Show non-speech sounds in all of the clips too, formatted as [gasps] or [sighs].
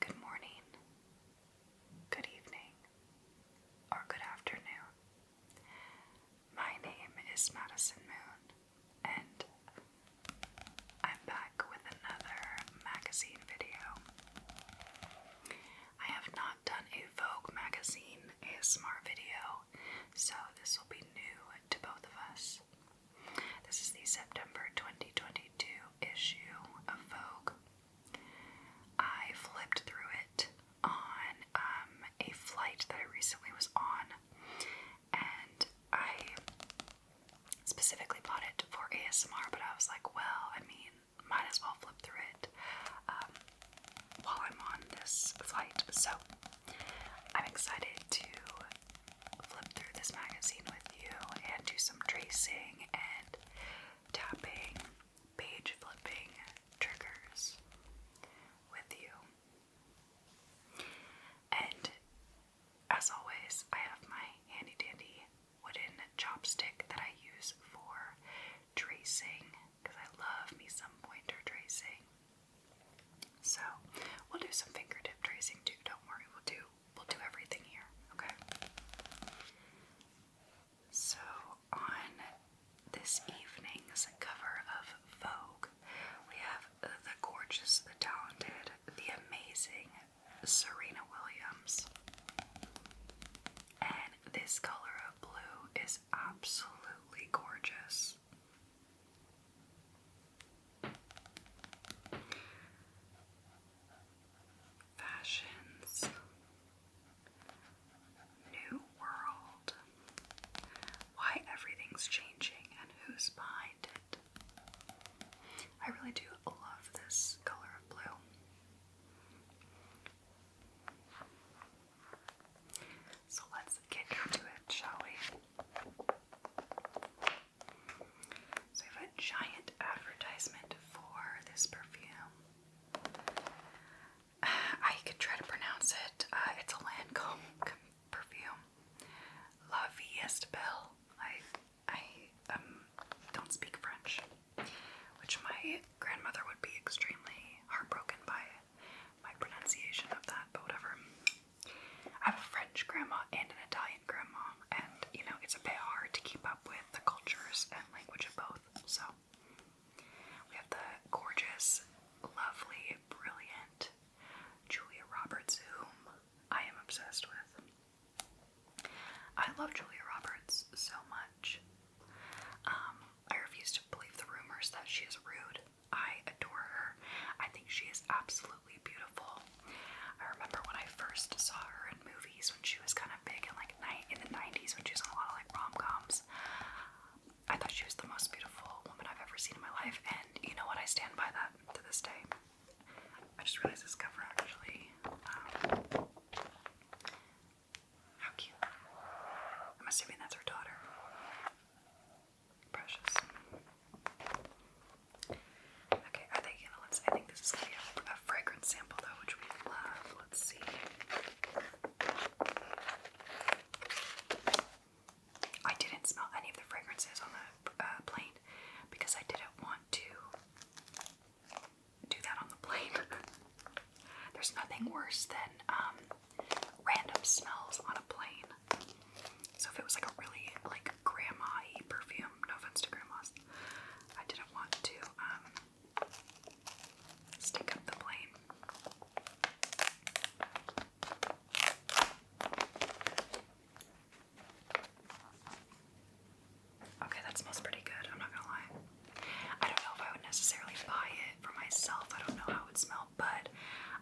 Good morning, good evening, or good afternoon. My name is Madison Moon, and I'm back with another magazine video. I have not done a Vogue magazine ASMR video, so this will be new to both of us. This is the September 2022 issue of Vogue. I flipped through it on um, a flight that I recently was on, and I specifically bought it for ASMR, but I was like, well, I mean, might as well flip through it um, while I'm on this flight. So I'm excited to flip through this magazine with you and do some tracing and tapping, page flipping triggers with you. And as always, I have my handy dandy wooden chopstick that I use for tracing because I love me some pointer tracing. So we'll do some fingertip tracing too. Don't worry, we'll do we'll do everything here. Okay. So on this evening's cover of Vogue, we have the gorgeous, the talented, the amazing Serena Williams. And this color of blue is absolutely gorgeous. Fashions, New World, Why Everything's Changing and Who's Behind It. I really do love this color of blue. So let's get into it, shall we? So we have a giant advertisement for this perfume. [sighs] I could try to pronounce it. Uh, it's a Lancome perfume. La Vie est belle. I I um don't speak French which my grandmother would be extremely heartbroken by my pronunciation of that, but whatever. I have a French grandma and an Italian grandma, and you know, it's a bit hard to keep up with the cultures and language of both. So, we have the gorgeous, lovely, brilliant Julia Roberts, whom I am obsessed with. I love Julia Roberts so much. Um, I refuse to believe the rumors that she is rude. I adore her. I think she is absolutely beautiful. I remember when I first saw her in movies when she was kind of big and like night in the 90s when she was in a lot of like rom-coms. I thought she was the most beautiful woman I've ever seen in my life, and you know what? I stand by that to this day. I just realized this cover actually um, how cute. I'm assuming that's her daughter. Precious. Okay, I think you I think this is a, fragrance sample though, which we love. Let's see. I didn't smell any of the fragrances on the uh, plane because I didn't want to do that on the plane. [laughs] There's nothing worse than um, random smells on a plane. So if it was like a really like grandma-y perfume, no offense to grandmas, I didn't want to um, stick up the plane. Okay, that smells pretty good. I'm not gonna lie. I don't know if I would necessarily buy it for myself. I don't know how it would smell, but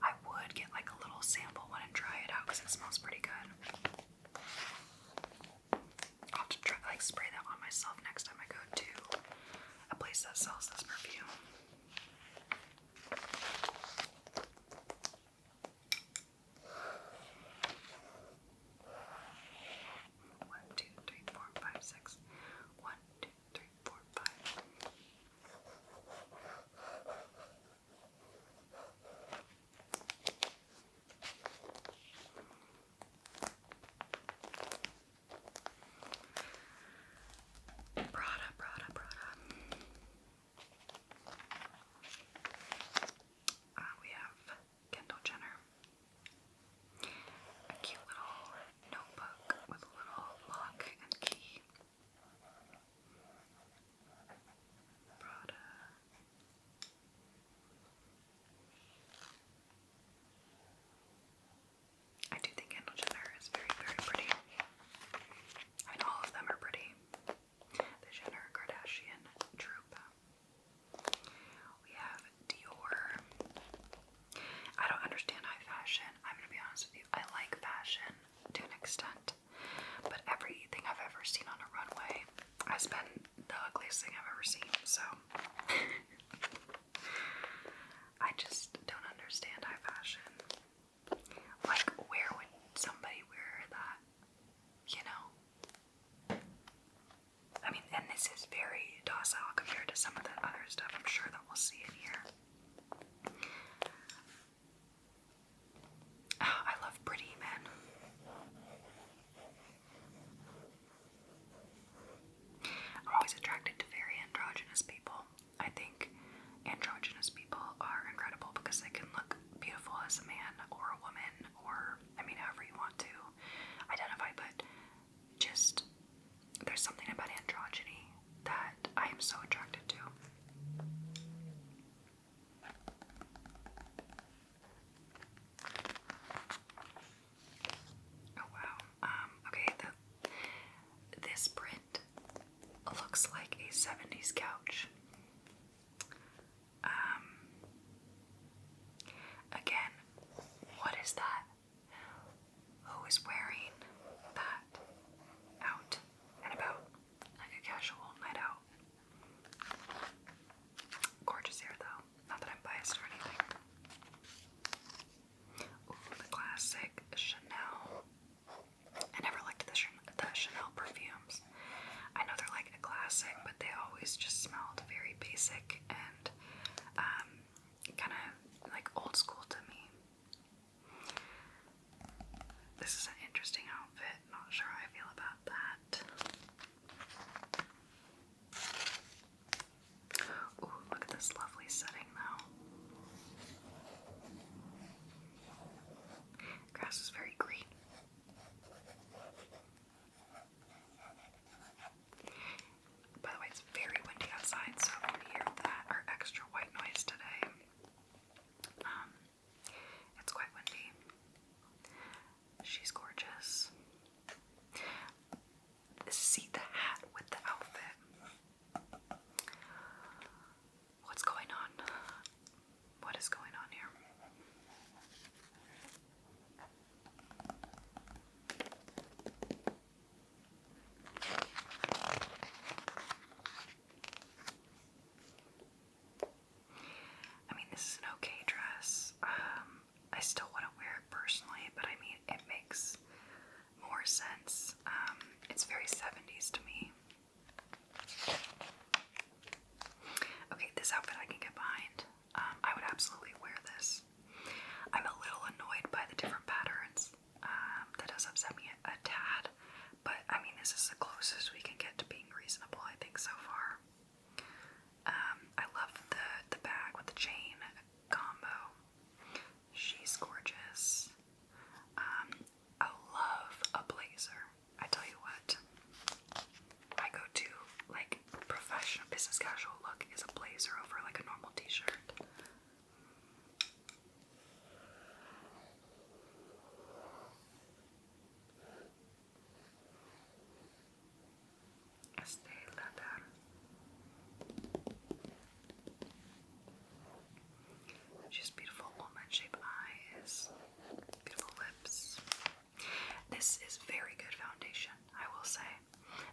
I would get like a little sample one and try it out because it smells pretty good. I'll have to try like spray that on myself next time I go to a place that sells this perfume. One, two, three, four, five, six. One, two, three, four, five. Prada, Prada, Prada. Uh, we have Kendall Jenner. A cute little notebook with a little lock and key. Prada. I do think Kendall Jenner is very, very pretty. I mean, all of them are pretty. The Jenner Kardashian troop. We have Dior. I don't understand high fashion. I'm gonna be honest with you. I like fashion to an extent, but everything I've ever seen on a runway has been the ugliest thing I've ever seen. So [laughs] I just don't understand high fashion. Like, where would somebody wear that? You know? I mean, and this is very docile compared to some of the other stuff I'm sure that we'll see in here. Ah, I love pretty men. I'm always attracted to very androgynous people. I think androgynous people are incredible because they can look beautiful as a man or a woman or I mean, however you want to identify, but just there's something about androgyny that I am so attracted to. Oh wow. Um, okay, the, this print looks like a 70s couch. Um, again, what is that? Who is wearing that out and about? Like a casual night out. Gorgeous hair, though. Not that I'm biased or anything. Ooh, the classic Chanel. I never liked the Chanel perfumes. I know they're like a classic, but they always just smelled very basic and um, kind of like old school to me. This is an interesting outfit. Not sure I feel about that. Ooh, look at this lovely setting though. Grass is very green. By the way, it's very windy outside, so if you hear that or extra white noise today, um, it's quite windy. She's gorgeous. See the hat with the outfit. What's going on? What is going on here? I mean, this is an okay dress. Um, I still wouldn't wear it personally, but I mean, it makes more sense. Um, it's very 70s to me. Okay, this outfit I can get behind. Um, I would absolutely wear this. I'm a little annoyed by the different patterns. Um, that does upset me a, tad, but I mean, this is the closest we can get to being reasonable, I think, so far. Um, I love the the bag with the chain combo. She's gorgeous. I love a blazer. I tell you what, I go to like professional business casual look is a blazer over like a normal t-shirt. Stay leather. beautiful woman, shape eyes, beautiful lips. This is very good foundation, I will say.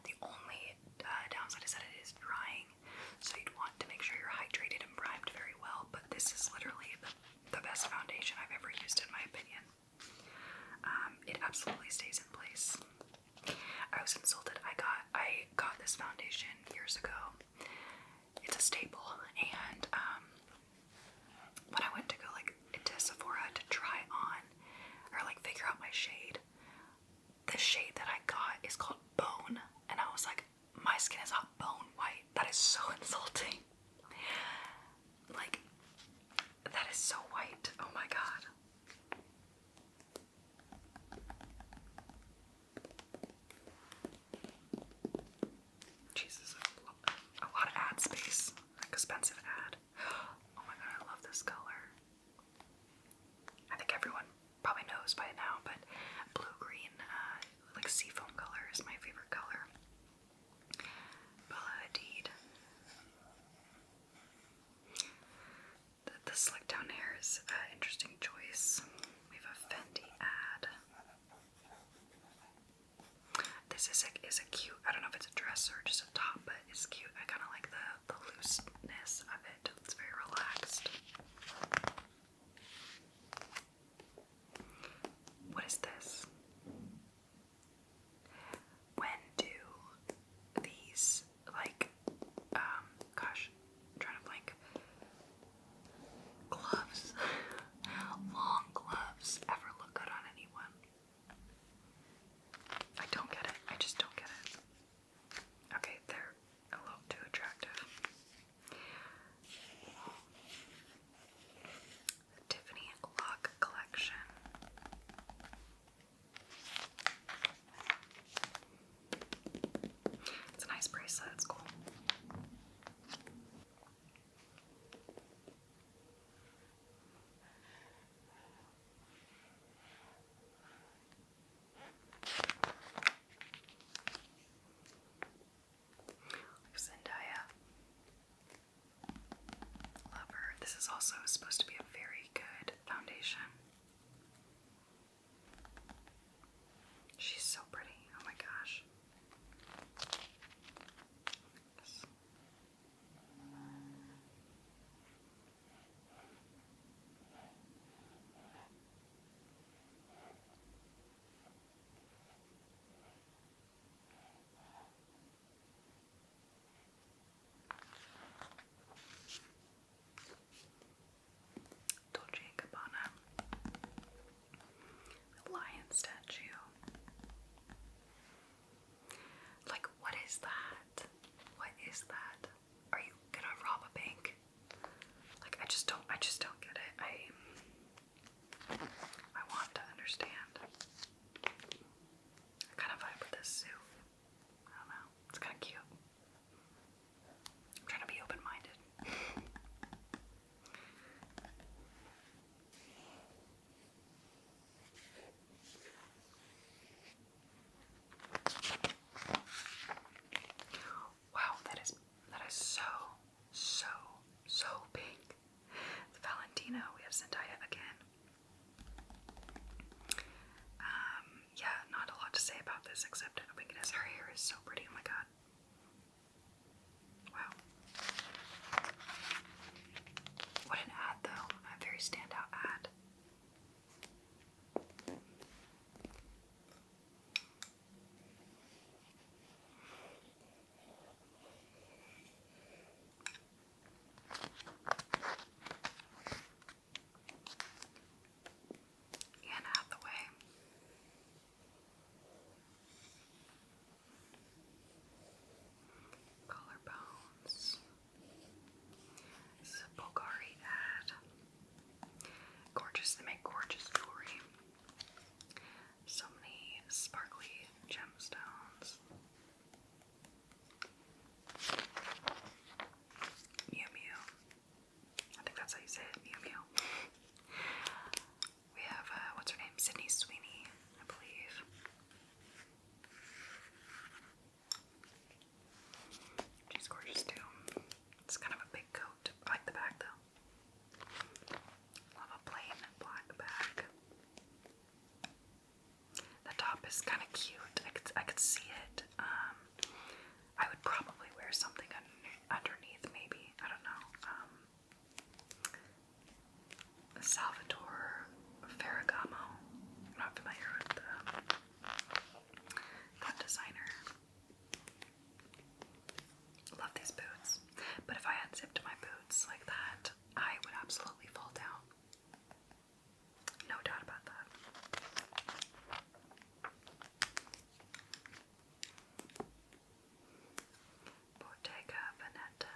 The only uh, downside is that it is drying, so you'd want to make sure you're hydrated and primed very well, but this is literally the, best foundation I've ever used, in my opinion. Um, it absolutely stays in place. I was insulted. I got I got this foundation years ago. It's a staple, and um, when I went to go like into Sephora to try on or like figure out my shade, the shade that I got is called Bone, and I was like, my skin is not bone white. That is so [laughs] insulting. Like, that is so white. Oh my god. Jesus, a lot, of ad space. expensive ad. Oh my god, I love this color. I think everyone probably knows by now, but blue-green, uh, like seafoam color is my favorite color. Bella The, the down hair is an interesting choice. We have a Fendi ad. This is a, is a cute, I don't know if it's a dress or just a top, but it's cute. I kind of like the, the looseness of it. It's very relaxed. What is this? When do these, like, um, gosh, trying to blank. Gloves, [laughs] long gloves, ever look good on an I don't get it. I just don't get it. Okay, they're a little too attractive. Tiffany Lock Collection. It's a nice bracelet, it's cool. Like Love her. This is also supposed to be a very good foundation. She's so pretty. Oh my gosh relax. Dolce a lion statue. Like, what is that? What is that? Are you gonna rob a bank? Like, I just don't, I just don't get it. I, I want to understand. kind of vibe with this zoo. I don't know. It's kind of cute. I'm trying to be open minded. Wow, that is that is so so so pink. The Valentino, we have Zendaya again. Um, yeah, not a lot to say about this except oh my goodness, her hair is so pretty. Oh my god. Wow. What an ad, though. A very standout ad. Anne Hathaway. Collarbones. Bulgari ad. Gorgeous, they make gorgeous jewelry. So many sparkly gemstones. Mew Mew. I think that's how you say it, Mew Mew. We have, uh, what's her name? Sydney Sweeney, I believe. She's gorgeous too. It's kind of a big coat. I like the back though. Love a plain black back. The top is kind of cute. I could, I could see it. Um, I would probably wear something underneath, maybe. I don't know. Um, Salvatore Ferragamo. not familiar with that designer. Love these boots, but if I had my boots like that, I would absolutely fall down. No doubt about that. Bottega Veneta.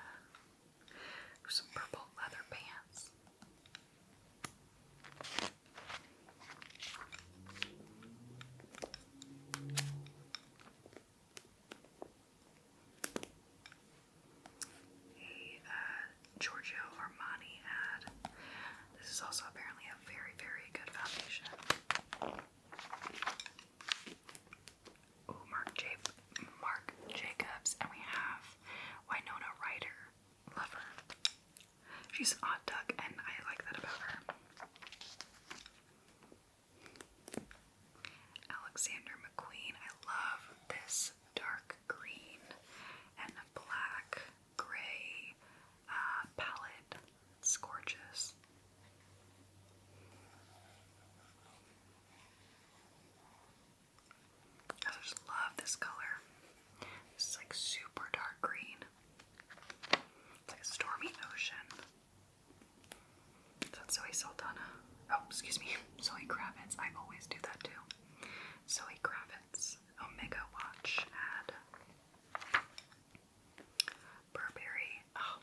Some purple leather pants. A uh, Giorgio Armani ad. This is also apparently a very, very good foundation. Ooh, Mark, J Mark Jacobs, and we have Winona Ryder. Love She's an odd duck, and I like that about her. Alexander McQueen. I love this dark green and black gray uh, palette. It's gorgeous. I just love this color. This is like super dark green. like a stormy ocean. That's Zoe Saldana. Oh, excuse me. [laughs] Zoe Kravitz. I always do that too. Zoe Kravitz Omega Watch ad. Burberry. Oh,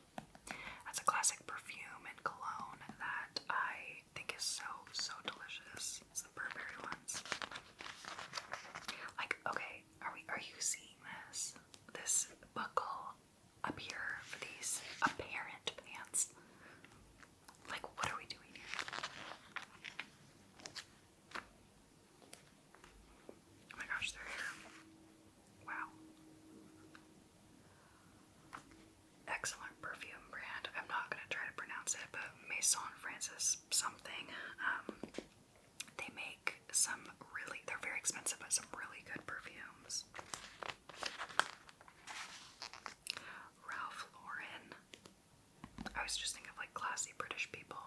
that's a classic perfume and cologne that I think is so, so delicious. It's Burberry ones. Like, okay, are we are you seeing this? This buckle up here for these apparent pants. Like, what are we doing here? Oh my gosh, they're here. Wow. Excellent perfume brand. I'm not going to try to pronounce it, but Maison Francis something. Um, they make some really, they're very expensive, but some really good perfumes. Ralph Lauren. I was just thinking of like classy British people.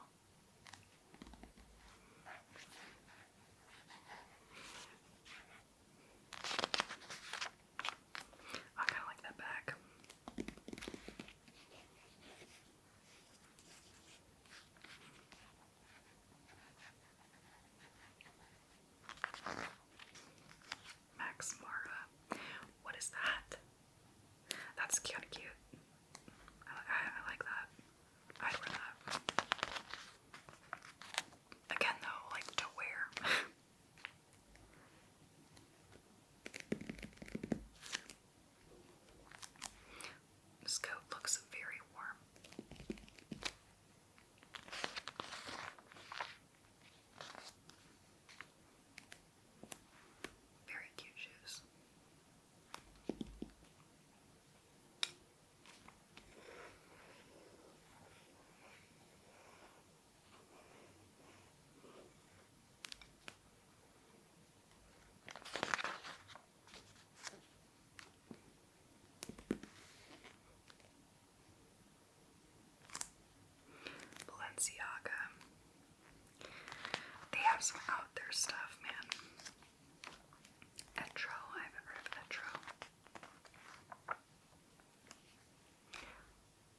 I kind of like that back. Max Mara. What is that? That's kind of cute. I like that. Again, though, like to wear. [laughs] this coat looks very warm. Very cute shoes. Balenciaga. They have some out there stuff, man. Etro, I haven't heard of Etro.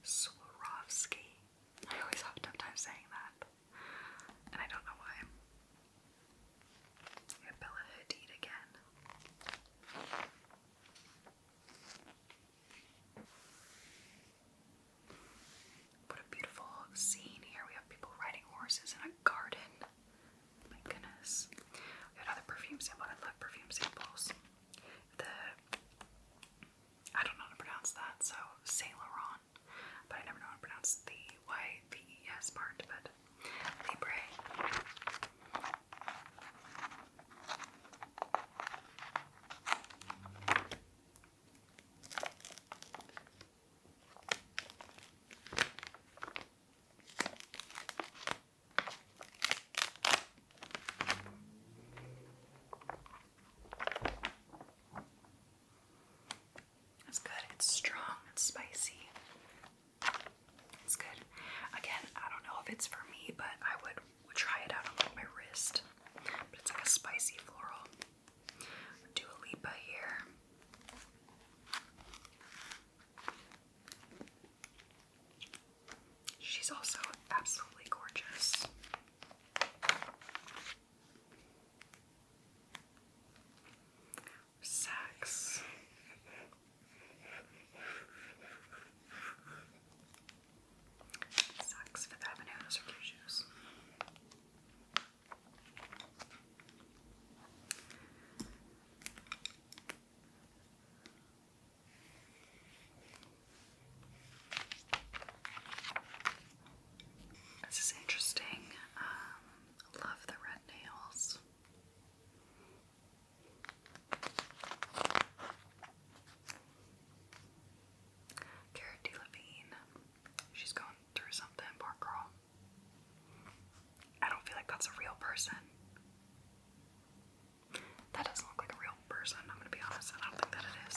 Swarovski. I always have a tough time saying that. And I don't know why. Yeah, Bella Hadid again. What a beautiful scene here. We have people riding horses in a garden. My goodness. We got another perfume sample. I love perfume samples. The I don't know how to pronounce that, so Saint Laurent. But I never know how to pronounce the Y V E S part, but Libre. It's good. It's strong. It's spicy. It's good. Again, I don't know if it's for me, but I would try it out on my wrist. But it's like a spicy floral. Do a Lipa here. She's also absolutely gorgeous. Sex. Sucks Fifth Avenue, those are cute shoes. This is interesting. Um, love the red nails. Cara Delevingne. She's going through something, poor girl. I don't feel like that's a real person. That doesn't look like a real person, I'm gonna be honest. I don't think that it is.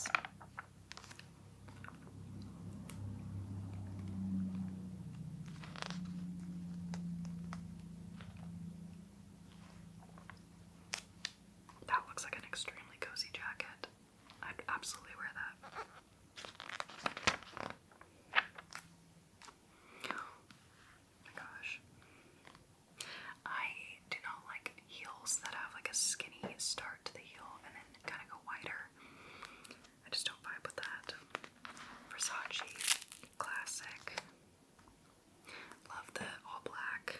That looks like an extremely cozy jacket. I'd absolutely wear that. Oh my gosh. I do not like heels that have like a skinny start to the heel and then kind of go wider. I just don't vibe with that. Versace, classic. Love the all black.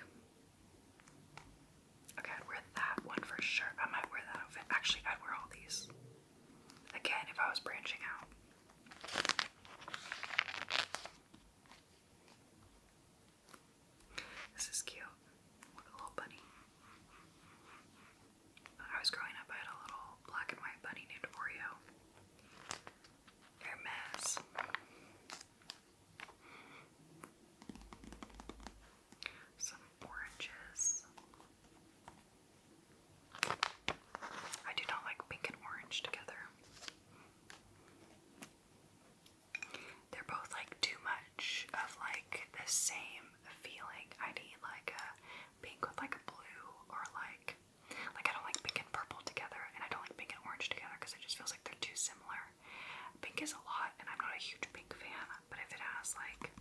Okay, wear that one for sure. I might wear that outfit. Actually, I'd wear all these. Again, if I was branching out. This is cute. Look at little bunny. I was growing up, I had a little black and white bunny named Oreo. Hermes. Some oranges. I do not like pink and orange together. They're both like too much of like the same feeling. I need like a pink with like a blue or like like I don't like pink and purple together and I don't like pink and orange together because it just feels like they're too similar. Pink is a lot and I'm not a huge pink fan, but if it has like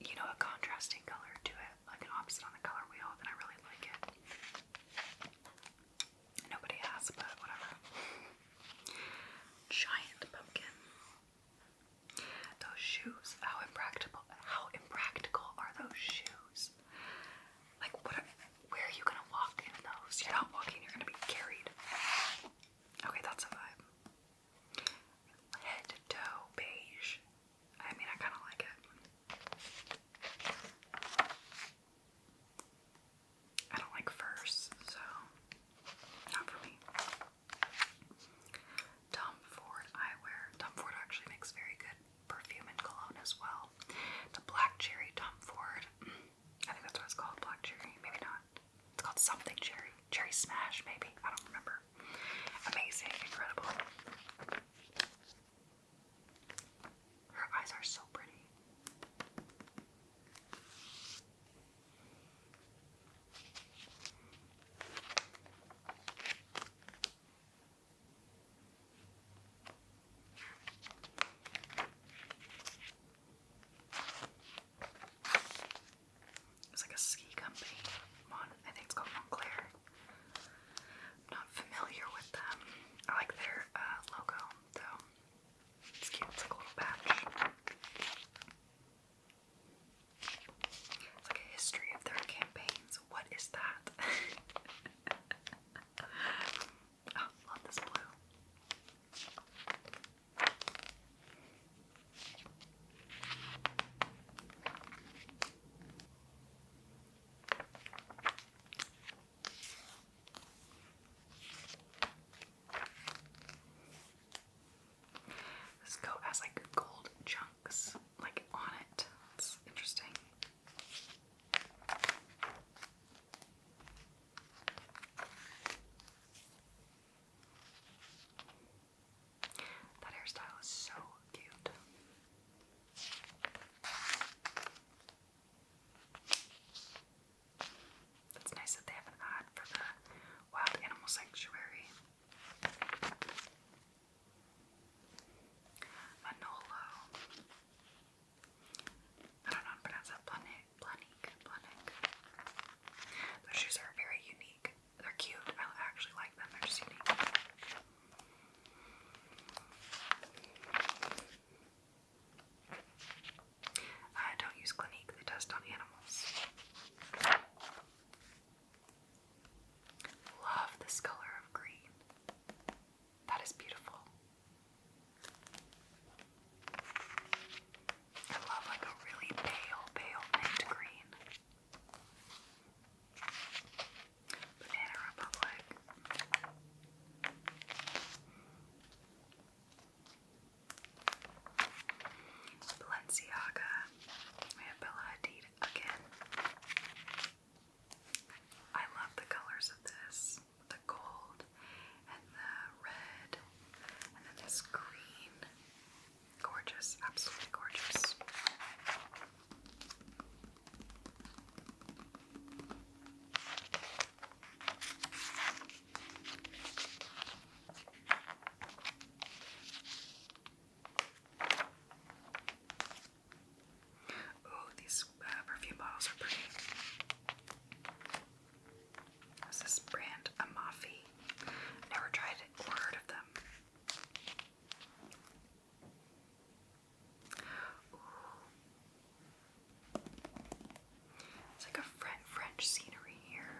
you know, a contrasting color to it, like an opposite on the color wheel, then I really like it. Nobody has, but whatever. Giant pumpkin. Those shoes. How impractical! How impractical are those shoes? Like, what? where are you gonna walk in those? You're not walking. You're gonna be carried. Okay, that's a vibe. Head to toe beige. I mean, I kind of like it. I don't like furs, so not for me. Tom Ford eyewear. Tom Ford actually makes very good perfume and cologne as well. The Black Cherry Tom Ford. I think that's what it's called, Black Cherry. Maybe not. It's called something cherry. Cherry smash, maybe. I don't remember. Amazing, incredible. Her eyes are so pretty. It's like a ski company. I think it's called Montclair. not familiar with them. I like their uh, logo though. It's cute. It's like a little patch. It's like a history of their campaigns. What is that? [laughs] Oh, love this blue. This coat has like gold chunks like on it. It's interesting. That hairstyle is so cute. It's nice that they have an ad for the wild animal sanctuary. Manolo. I don't know how to pronounce that. Planik, Planik. Those shoes are very unique. They're cute. I actually like them. They're just unique. I don't use Clinique. They test on animals. Love this color of green. That is beautiful. I love like a really pale, pale mint green. Banana Republic. Balenciaga. We have Bella Hadid again. I love the colors of this. The gold and the red and then this green Gorgeous, absolutely gorgeous. Oh, these uh, perfume bottles are pretty. What's this brand? Amafi. Never tried it or heard of them. It's like a French scenery here.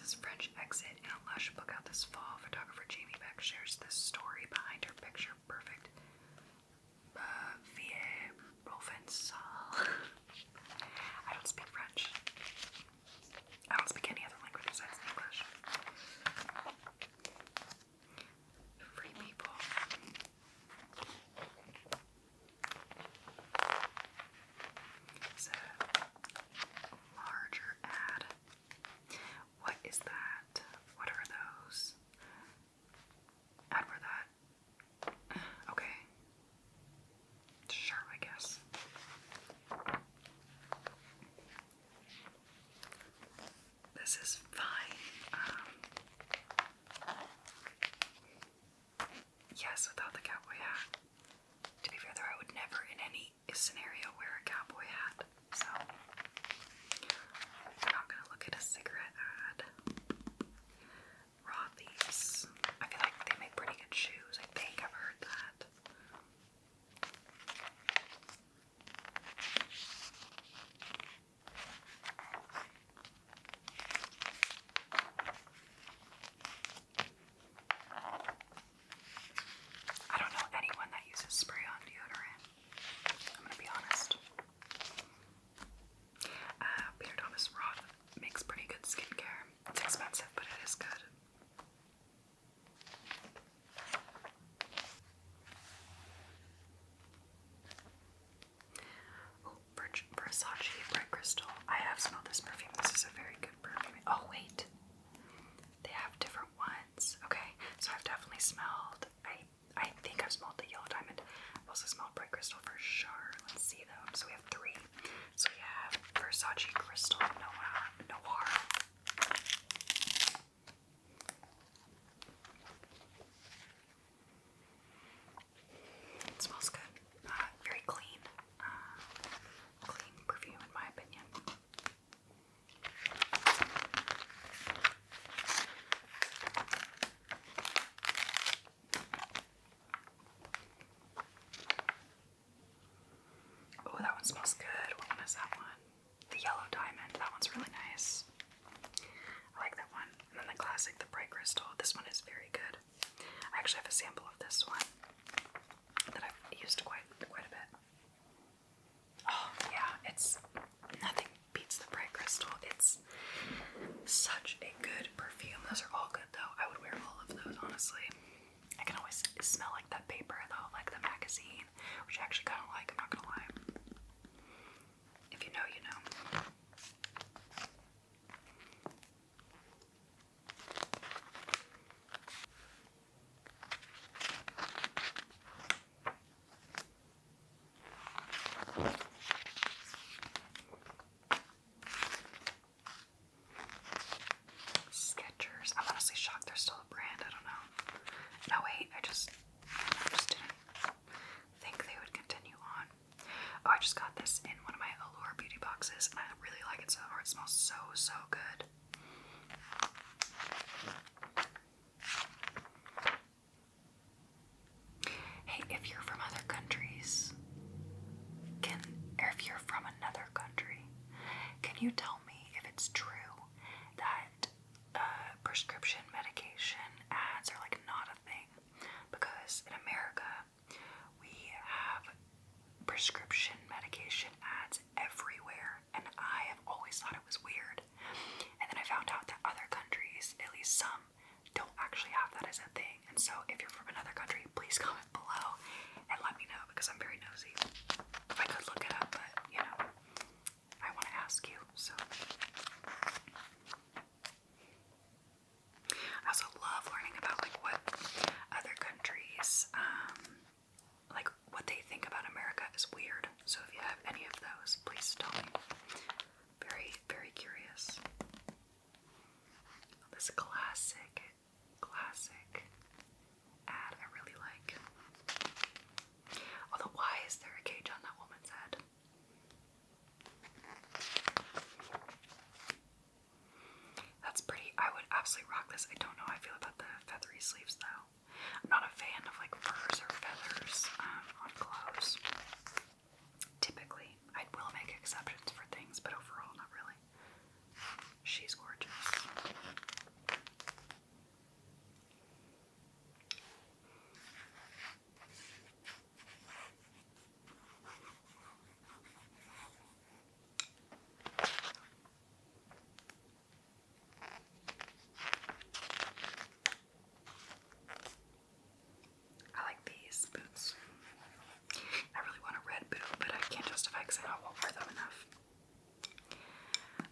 This French exit in a lush book out this fall. Photographer Jamie Beck shares this story behind her picture perfect. Uh, Provençal. [laughs] I don't speak French. I don't speak any other language besides English. Free people. larger ad. What is that? What are those? Ad for that [sighs] Okay. Sure, I guess. This is fine. Um, yes, without the cowboy hat. To be fair, though, I would never in any scenario wear a cowboy hat, so I'm not gonna look at a cigarette ad. Rothy's. I feel like they make pretty good shoes. I think I've heard that. I don't know anyone that uses spray on deodorant. I'm gonna be honest. Uh, Peter Thomas Roth makes pretty good skincare. It's expensive, but it is good. Oh, Versace Bright Crystal. I have smelled this perfume. This is a very good perfume. Oh, wait. They have different ones. Okay, so I've definitely smelled. I I think I've smelled the Yellow Diamond. I've also smelled Bright Crystal for sure. Let's see, though. So we have three. So you have Versace Crystal Noir. Noir. It smells good. Uh, very clean. Uh, clean perfume, in my opinion. Oh, that one smells good. What that one? The yellow diamond. That one's really nice. I like that one. And then the classic, the bright crystal. This one is very good. I actually have a sample of this one that I've used quite quite a bit. Oh yeah, it's nothing beats the bright crystal. It's such a good perfume. Those are all good though. I would wear all of those honestly. I can always smell like that paper though, like the magazine, which I actually kind of like. I'm not gonna lie. If you know, you know. Sketchers. I'm honestly shocked they're still a brand. I don't know. No, wait. I just, just didn't think they would continue on. Oh, I just got this in one of my Allure beauty boxes, and I really like it so far. It smells so, so good. Hey, if you're from other countries, can or if you're from another country, can you tell me if it's true that uh, prescription medication ads are like not a thing? Because in America, we have prescription medication ads everywhere, and I have always thought it was weird. And then I found out that other countries, at least some, um, don't actually have that as a thing. And so, if you're from another country, please comment below and let me know because I'm very nosy. I could look it up, but you know, I want to ask you. So, I also love learning about like what other countries, um, like what they think about America is weird. So, if you have any of those, please tell me. Very, very curious. This classic, classic ad I really like. Although, why is there a cage on that woman's head? That's pretty. I would absolutely rock this. I don't know how I feel about the feathery sleeves though. I'm not a fan of like furs or feathers um, on clothes. Typically, I will make exceptions for things, but overall, not really. She's gorgeous. I like these boots. I really want a red boot, but I can't justify because I don't wear them enough.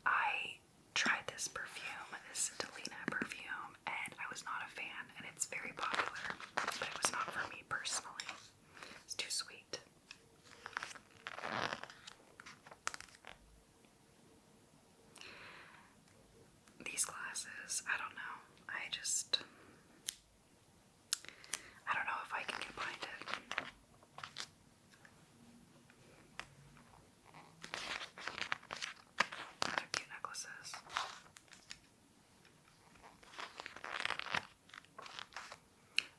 I tried this perfume, this Delina perfume, and I was not a fan, and it's very popular, but it was not for me personally. It's too sweet these glasses. I don't know. I just. I don't know if I can combine it. cute necklaces.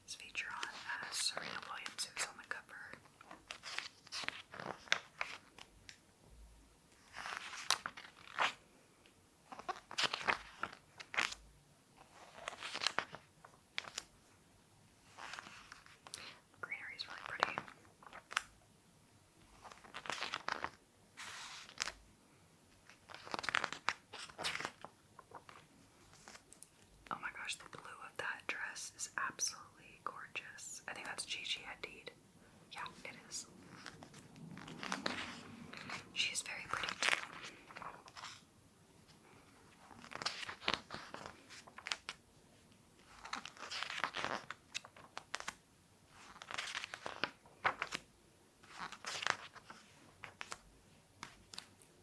This feature on uh, Serena Williams, who's on the cover. Greenery is really pretty. Oh my gosh, the blue of that dress is absolutely gorgeous. I think that's Gigi Hadid. Yeah, it is. She's very pretty too.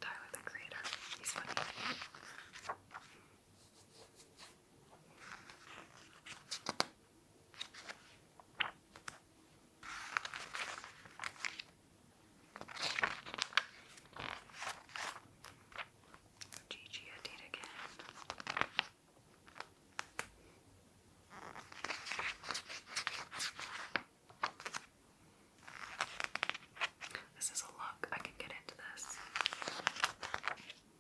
Tyler the creator. He's funny. Gigi Hadid again. This is a look. I can get into this.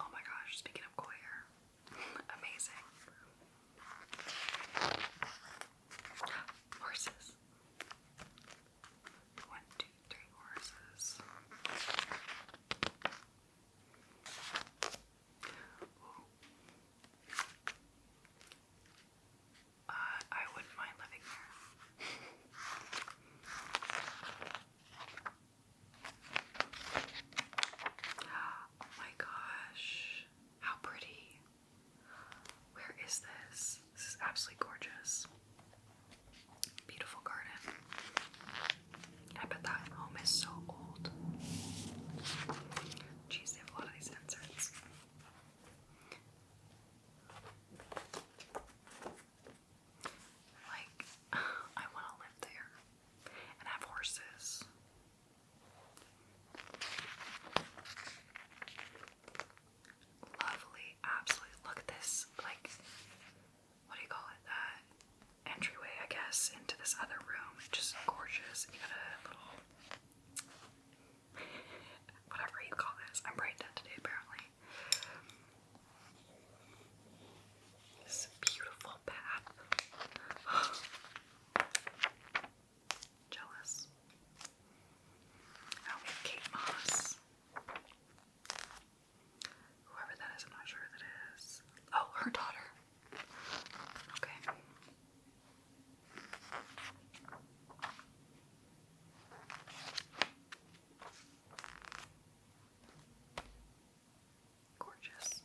Oh my gosh, speaking of koi amazing. Horses. One, two, three horses. Uh, I wouldn't mind living there. Oh my gosh, how pretty. Where is this? This is absolutely gorgeous. Beautiful garden. I bet that home is so old. Jeez, they have a lot of these inserts. Like, [sighs] I want to live there and have horses. Lovely, absolutely. Look at this, like, what do you call it? Uh, entryway, I guess, into this other room. just gorgeous. You got a little, whatever you call this. I'm brain dead today, apparently. This beautiful bath. [gasps] Jealous. Now we have Kate Moss. Whoever that is, I'm not sure that is. Oh, her daughter. Okay. Gorgeous.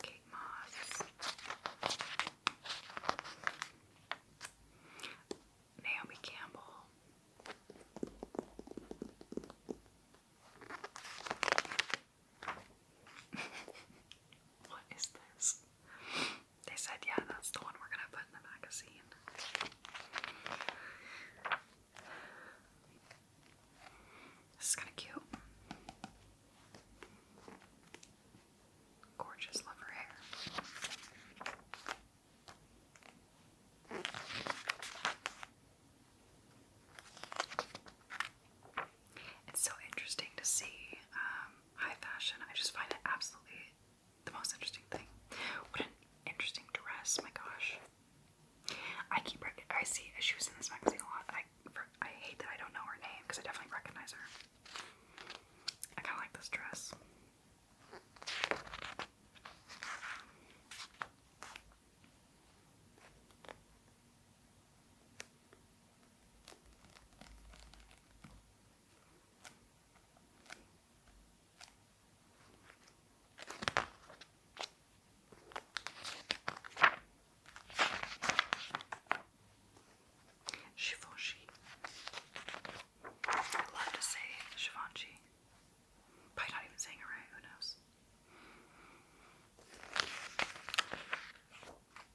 Kate Moss. Naomi Campbell what is this? They said, yeah, that's the one we're gonna put in the magazine. This is kind of cute. Gorgeous lover hair. It's so interesting to see um, high fashion. I just find it absolutely the most interesting thing. What an interesting dress! My gosh, I keep I see she was in this magazine a lot. I I hate that I don't know her name because I definitely recognize her. I kind of like this dress. Givenchy. I love to say Givenchy. Probably not even saying it right, who knows?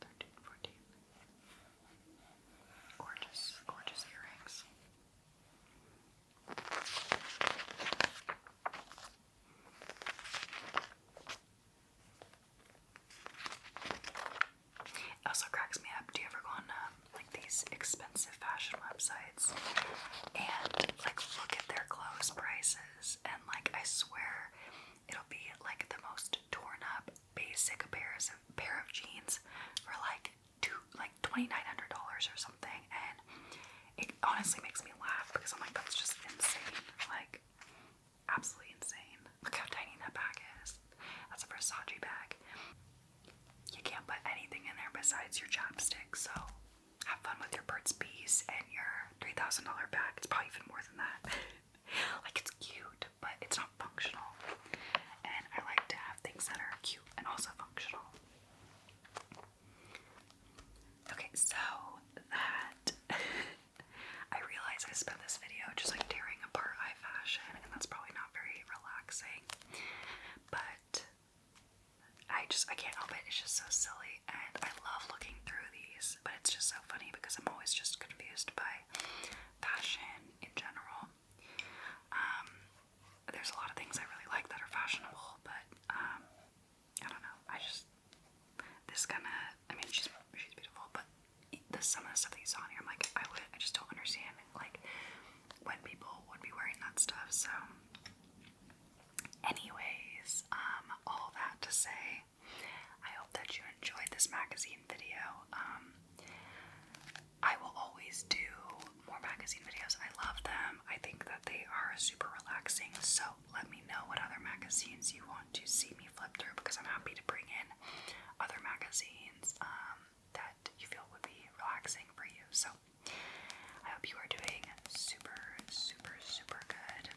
13, Gorgeous, gorgeous earrings. also cracks me up. Do you ever go on um, like these expensive fashion websites and like look at their clothes prices? And like I swear, it'll be like the most torn up basic pair of jeans for like two like $2,900 or something and it honestly makes me laugh because I'm like that's just insane like absolutely insane look how tiny that bag is that's a Versace bag you can't put anything in there besides your chapstick so have fun with your bird's Bees and your $3,000 bag it's probably even more than that [laughs] [laughs] like it's cute, but it's not functional. And I like to have things that are cute and also functional. Okay, so that [laughs] I realize I spent this video just like tearing apart eye fashion, and that's probably not very relaxing. But I just I can't help it. It's just so silly, and I love looking through these this, but it's just so funny because I'm always just confused by fashion in general. Um, there's a lot of things I really like that are fashionable, but um, I don't know. I just this kind of. I mean, she's she's beautiful, but the some of the stuff that you saw on here, I'm like, I would. I just don't understand like when people would be wearing that stuff. So, anyways, um, all that to say, I hope that you enjoyed this magazine video. Um, I will always do more magazine videos. I love them. I think that they are super relaxing. So let me know what other magazines you want to see me flip through because I'm happy to bring in other magazines um, that you feel would be relaxing for you. So I hope you are doing super, super, super good.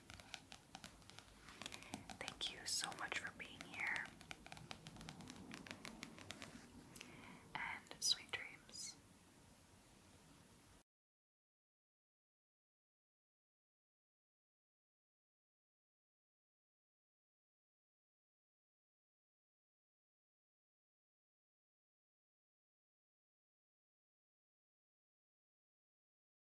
Thank you so much for being here. And sweet dreams.